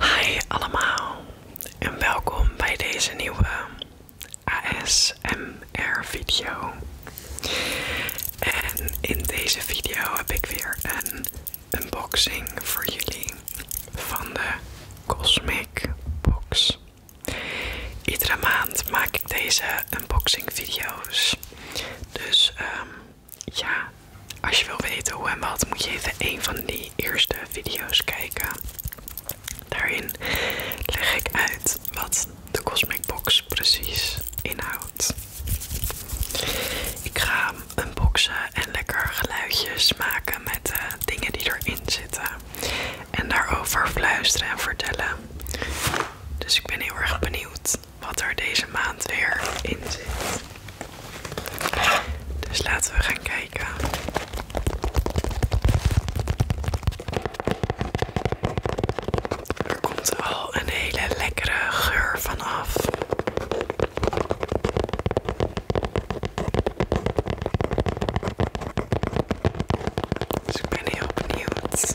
Hi allemaal en welkom bij deze nieuwe ASMR video. En in deze video heb ik weer een unboxing voor jullie van de Cosmic Box. Iedere maand maak ik deze unboxing video's. Dus ehm, ja, als je wil weten hoe en wat, moet je even een van die eerste video's kijken. Daarin leg ik uit wat de Cosmic Box precies inhoudt. Ik ga unboxen en lekker geluidjes maken met de dingen die erin zitten. En daarover fluisteren en vertellen. Dus ik ben heel erg benieuwd wat er deze maand weer in zit. Dus laten we gaan kijken. Er komt al een hele lekkere geur van af. Dus ik ben heel benieuwd.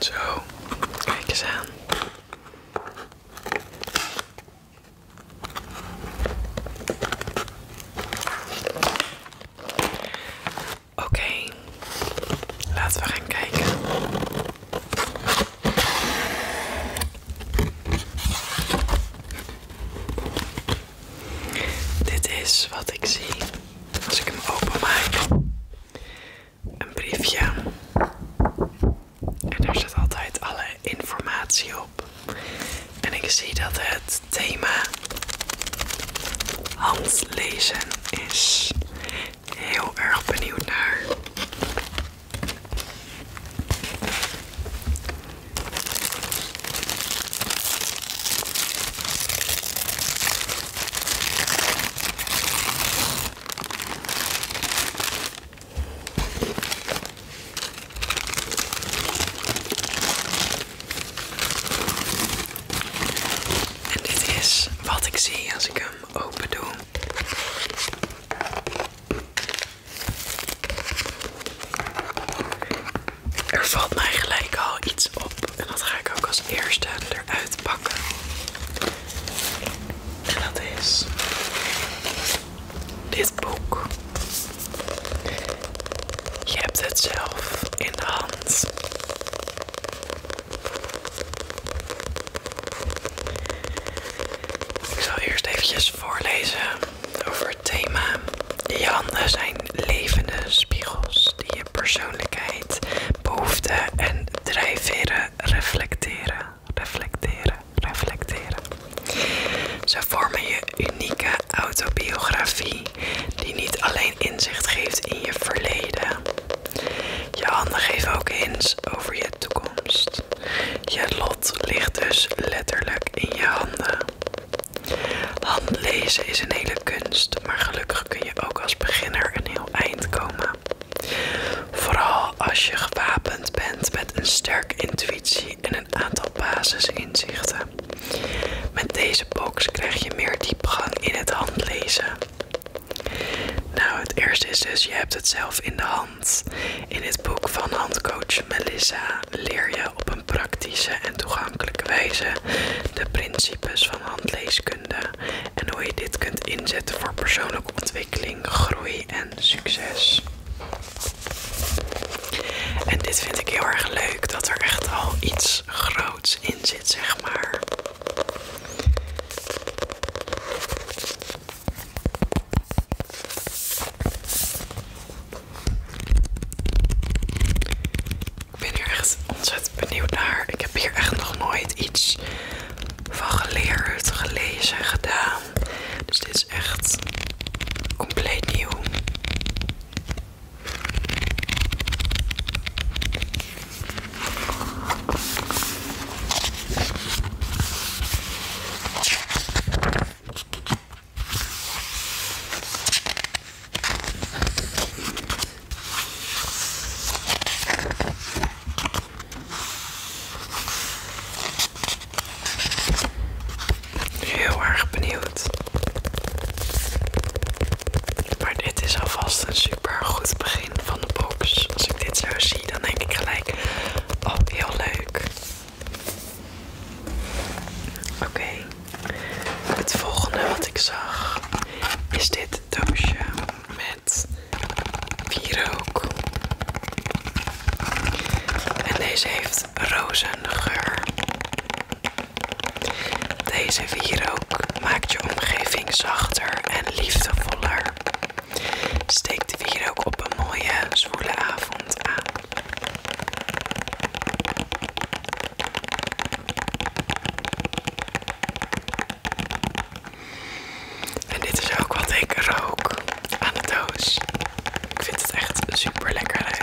Zo, kijk eens aan. Oké, laten we gaan kijken. Dit is wat ik zie als ik hem openmaak. Een briefje. En daar zit altijd alle informatie op. En ik zie dat het thema handlezen is heel erg benieuwd naar. En dit is wat ik zie als ik hem open doen. Er valt mij gelijk al iets op. En dat ga ik ook als eerste eruit pakken. En dat is dit boek. Je hebt het zelf in de hand. Ik zal eerst eventjes voorlezen over het thema. Je handen zijn levende spiegels die je persoonlijkheid, behoeften en drijfveren reflecteren. Reflecteren, reflecteren. Ze vormen je unieke autobiografie die niet alleen inzicht geeft in je verleden, je handen geven ook hints over je toekomst. Je lot ligt dus letterlijk in je handen. Handlezen is een hele kunst, maar gelukkig kun je ook als beginner een heel eind komen. Vooral als je gewapend bent met een sterke intuïtie en een aantal basisinzichten. Met deze box krijg je meer diepgang in het handlezen. Nou, het eerste is dus, je hebt het zelf in de hand. In het boek van handcoach Melissa leer je op een praktische en toegankelijke wijze de principes van handleeskunde en hoe je dit kunt inzetten voor persoonlijke ontwikkeling, groei en succes. En dit vind ik heel erg leuk, dat er echt al iets groots in zit, zeg maar. Ik ben hier echt ontzettend benieuwd naar. Ik heb hier echt nog nooit iets van geleerd, gelezen, gedaan. Dus dit is echt compleet nieuw. Heel erg benieuwd. Maar dit is alvast een super goed begin van de box. Als ik dit zo zie, dan denk ik gelijk, oh heel leuk. Oké, het volgende wat ik zag is dit doosje met wierook. En deze heeft rozengeur. Deze wierook maakt je omgeving zachter en liefdevoller. Steek de wierook op een mooie, zwoele avond aan. En dit is ook wat ik rook aan de doos. Ik vind het echt super lekker ruiken.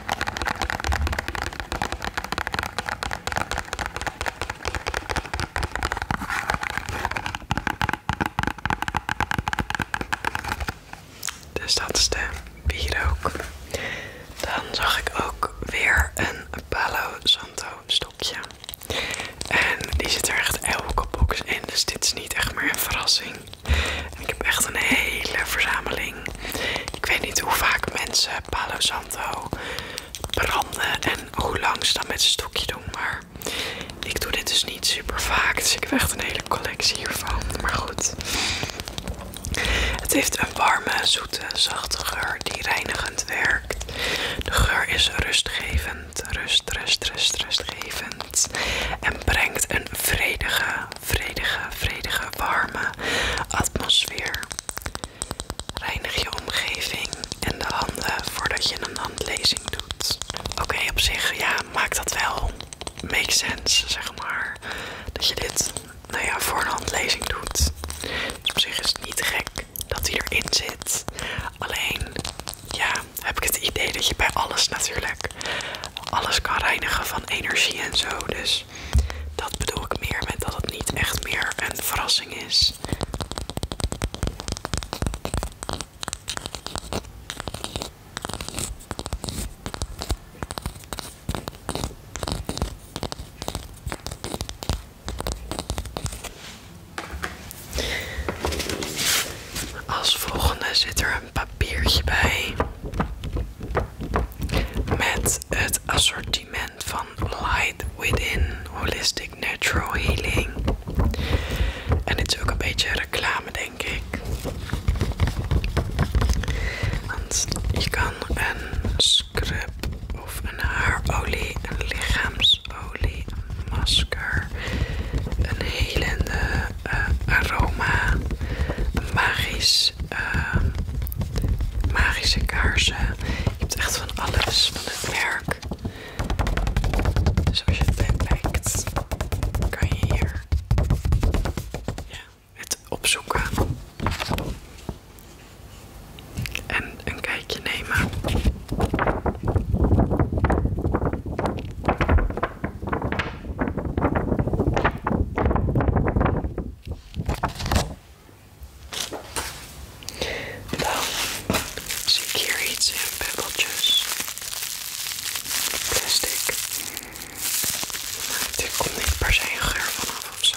Dus dat is de ook Dan zag ik ook weer een Palo Santo stokje. En die zit er echt elke box in, dus dit is niet echt meer een verrassing ik heb echt een hele verzameling. Ik weet niet hoe vaak mensen Palo Santo branden en hoe lang ze dat met een stokje doen. Maar ik doe dit dus niet super vaak. Dus ik heb echt een hele collectie hiervan. Maar goed. Het heeft een warme, zoete, zachte geur die reinigend werkt. De geur is rustgevend, rust, rust, rust, rustgevend en brengt een vredige, vredige, vredige, warme atmosfeer. Reinig je omgeving en de handen voordat je een handlezing doet. Oké, op zich, ja, maakt dat wel. Make sense, zeg maar. Dat je dit, nou ja, voor een handlezing doet. Dus op zich is het niet gek dat die erin zit. Alleen, ja, heb ik het idee dat je bij alles natuurlijk alles kan reinigen van energie en zo. Dus dat bedoel ik meer met dat het niet echt meer een verrassing is. Als volgende zit er een papiertje bij met het assortiment van Light Within Holistic Natural Healing. En dit is ook een beetje reclame, denk ik. Want je kan een scrub of een haarolie, een lichaamsolie, een masker, een helende eh, aroma, magisch Ehm, magische kaarsen. Je hebt echt van alles van het merk. Dus als je het backpackt, kan je hier het opzoeken. En een kijkje nemen. Dan zie ik hier iets Plastic. Het er komt niet per se een geur vanaf of zo.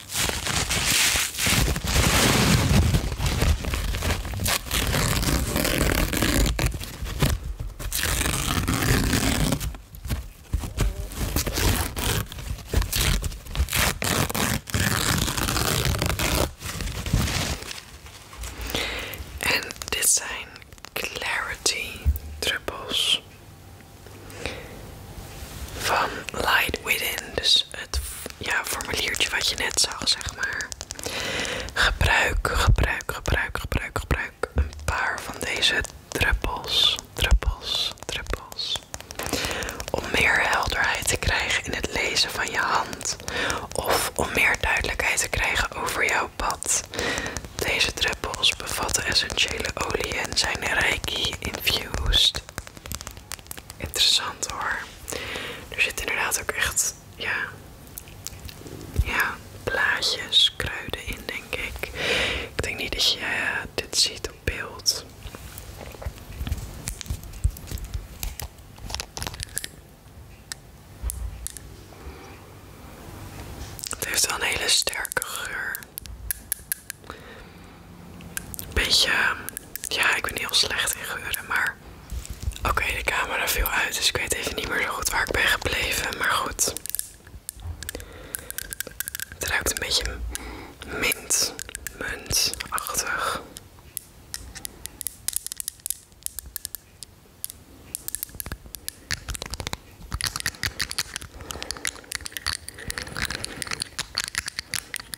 en dit zijn Clarity Trippels van Light Within, dus het ja, formuliertje wat je net zag, zeg maar. Gebruik, gebruik, gebruik, gebruik, gebruik een paar van deze druppels, druppels, druppels. Om meer helderheid te krijgen in het lezen van je hand. Of om meer duidelijkheid te krijgen over jouw pad. Deze druppels bevatten essentiële olie en zijn reiki infused. Interessant hoor. Er zit inderdaad ook echt, ja, ja, blaadjes, kruiden in denk ik. Ik denk niet dat je eh, dit ziet op beeld. Het heeft wel een hele sterke geur. Een beetje, ja, ik ben heel slecht in geuren, maar oké, de camera viel uit, dus ik weet even niet meer zo goed waar ik ben gebleven, maar goed. Het ruikt een beetje mint, muntachtig.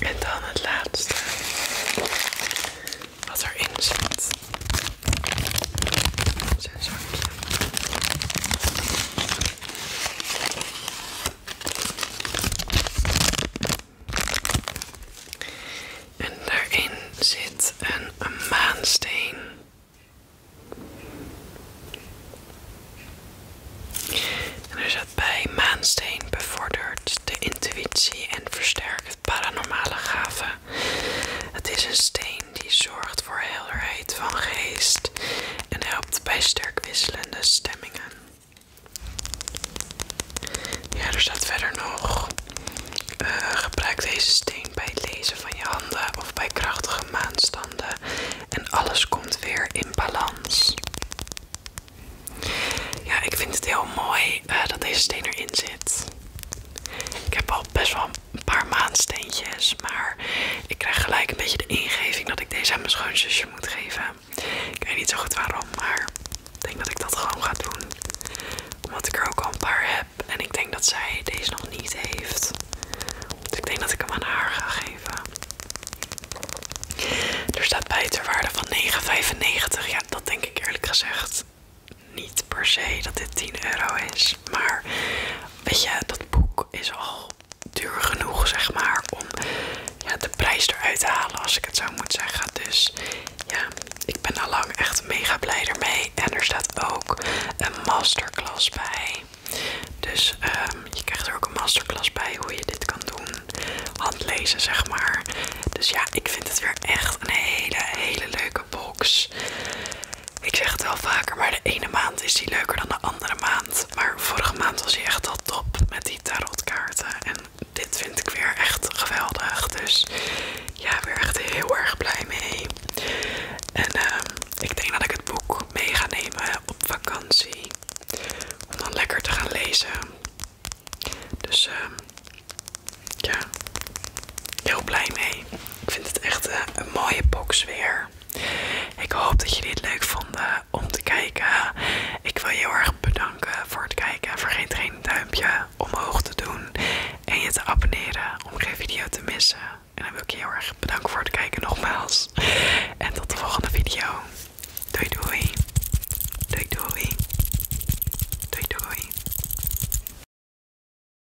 En dan het laatste wat erin zit zijn zakje. En daarin zit een, maansteen. En er zit bij maansteen bevordert de intuïtie en versterkt paranormale gaven. Het is een steen die zorgt voor helderheid van geest en helpt bij sterk wisselende stemmingen. Ja, er staat verder nog. Eh, gebruik deze steen bij het lezen van je handen of bij krachtige maanstanden en alles komt weer in balans. Ja, ik vind het heel mooi eh, dat deze steen erin zit. Ik heb al best wel een paar maandsteentjes. Maar ik krijg gelijk een beetje de ingeving dat ik deze aan mijn schoonzusje moet geven. Ik weet niet zo goed waarom, maar ik denk dat ik dat gewoon ga doen. Omdat ik er ook al een paar heb. En ik denk dat zij deze nog niet heeft. Dus ik denk dat ik hem aan haar ga geven. Er staat bij waarde van 9,95. Ja, dat denk ik eerlijk gezegd niet per se dat dit 10 euro is. Maar weet je, dat boek is al duur genoeg, zeg maar, om de prijs eruit te halen, als ik het zo moet zeggen. Dus ja, ik ben al lang echt mega blij ermee. En er staat ook een masterclass bij. Dus ehm, je krijgt er ook een masterclass bij hoe je dit kan doen. Handlezen, zeg maar. Dus ja, ik vind het weer echt een hele, hele leuke box. Ik zeg het wel vaker, maar de ene maand is die leuker dan de andere maand. Maar vorige maand was hij echt al top met die tarotkaarten. En dit vind ik weer echt geweldig. Dus ja, weer echt heel erg blij mee. En ehm, ik denk dat ik het boek mee ga nemen op vakantie. Om dan lekker te gaan lezen. Dus ehm, ja, heel blij mee. Ik vind het echt eh, een mooie box weer. Ik hoop dat jullie het leuk vonden om te kijken. Ik wil je heel erg bedanken voor het kijken. Vergeet geen duimpje omhoog te doen en je te abonneren om geen video te missen. En dan wil ik je heel erg bedanken voor het kijken nogmaals. En tot de volgende video. Doei doei. Doei doei. Doei doei.